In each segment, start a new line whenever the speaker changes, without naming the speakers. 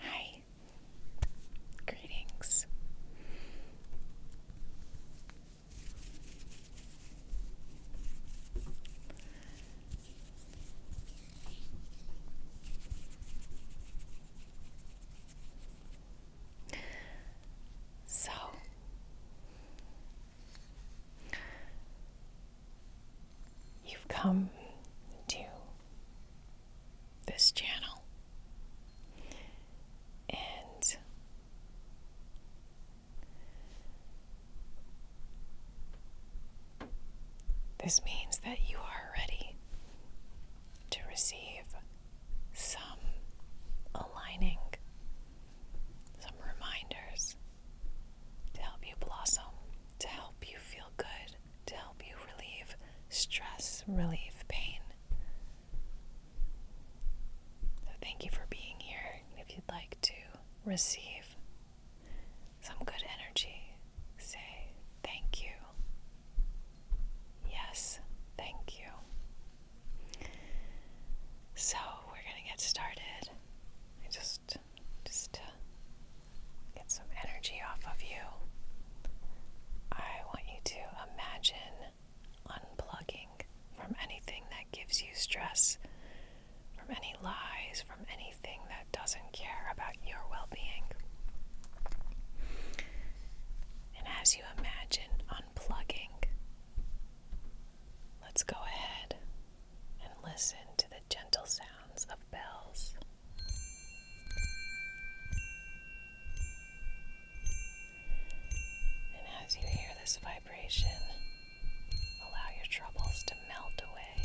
Hi, greetings. So, You've come to this channel and this means that you are ready to receive some aligning, some reminders to help you blossom, to help you feel good, to help you relieve stress, relieve pain. So, thank you for being here. If you'd like to receive some good energy, say thank you. Yes, thank you. So, we're going to get started just just get some energy off of you. I want you to imagine unplugging from anything that gives you stress, from any lies, from anything that doesn't care about your well-being. And as you imagine unplugging, Let's go ahead and listen to the gentle sounds of bells. And as you hear this vibration, allow your troubles to melt away.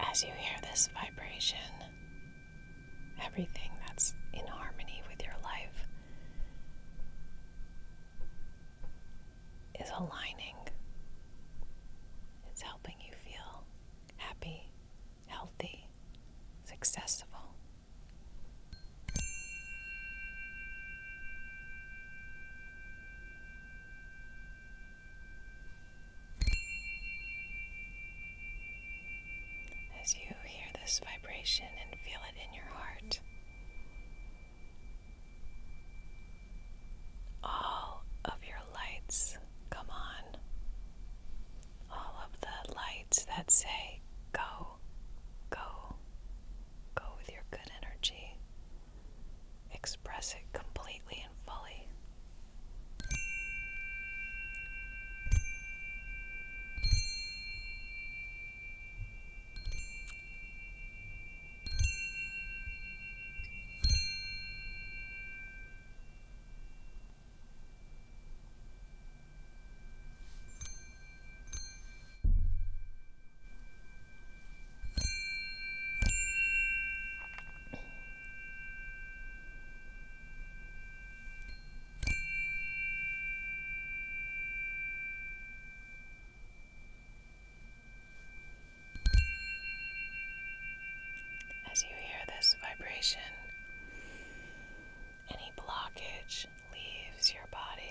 As you hear this vibration, everything that's in harmony with your life is aligning. It's helping you feel happy, healthy, successful. As you hear this vibration and feel it in your heart, all of your lights come on. All of the lights that say, Go, go, go with your good energy express it completely and fully. As you hear this vibration, any blockage leaves your body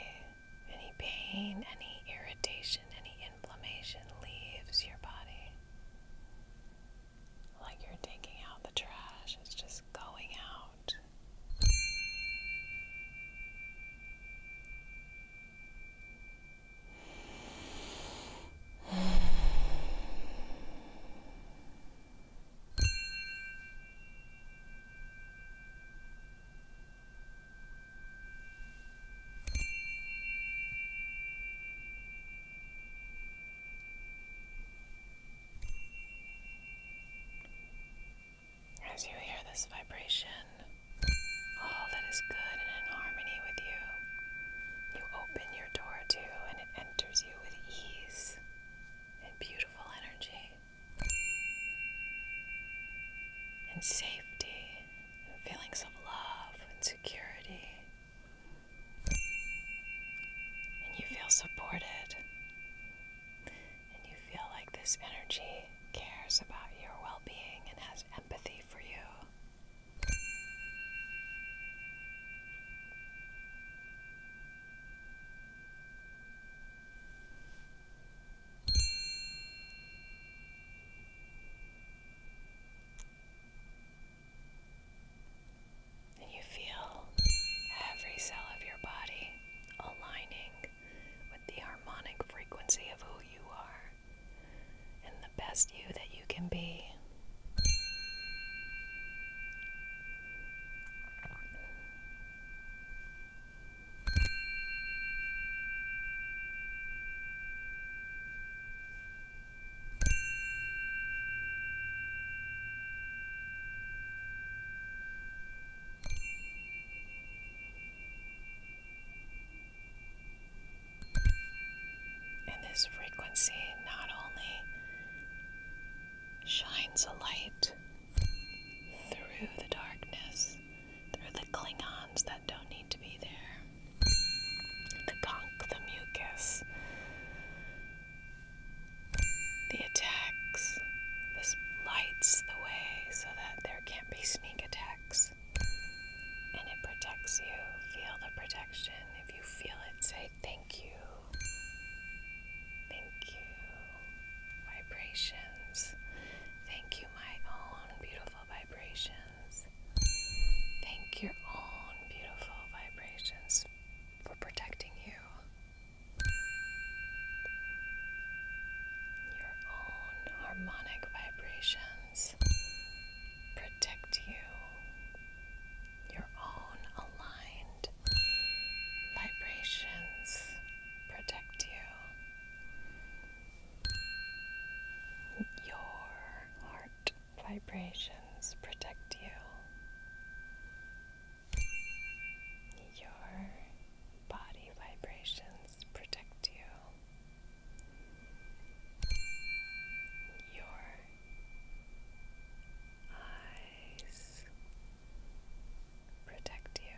any pain, any irritation, any inflammation leaves your body. Like you're taking out the trash, it's just going out. As you hear this vibration, all that is good and in harmony with you, you open your door to and it enters you with ease and beautiful energy and safety and feelings of love and security. And you feel supported. And you feel like this energy cares about your well being and has empathy for you. And you feel every cell of your body aligning with the harmonic frequency of who you are and the best you that you can be. And this frequency not only shines a light through the darkness, through the Klingons that don't need to be there, the gunk, the mucus, the attacks. This lights the way so that there can't be sneak attacks. And it protects you. Feel the protection. If you feel it, say thank you. Thank you, vibrations. Thank you, my own beautiful vibrations. Thank your own beautiful vibrations for protecting you. Your own harmonic vibrations protect you your own aligned vibrations protect you. Your heart vibrations protect you. Your body vibrations protect you your eyes protect you.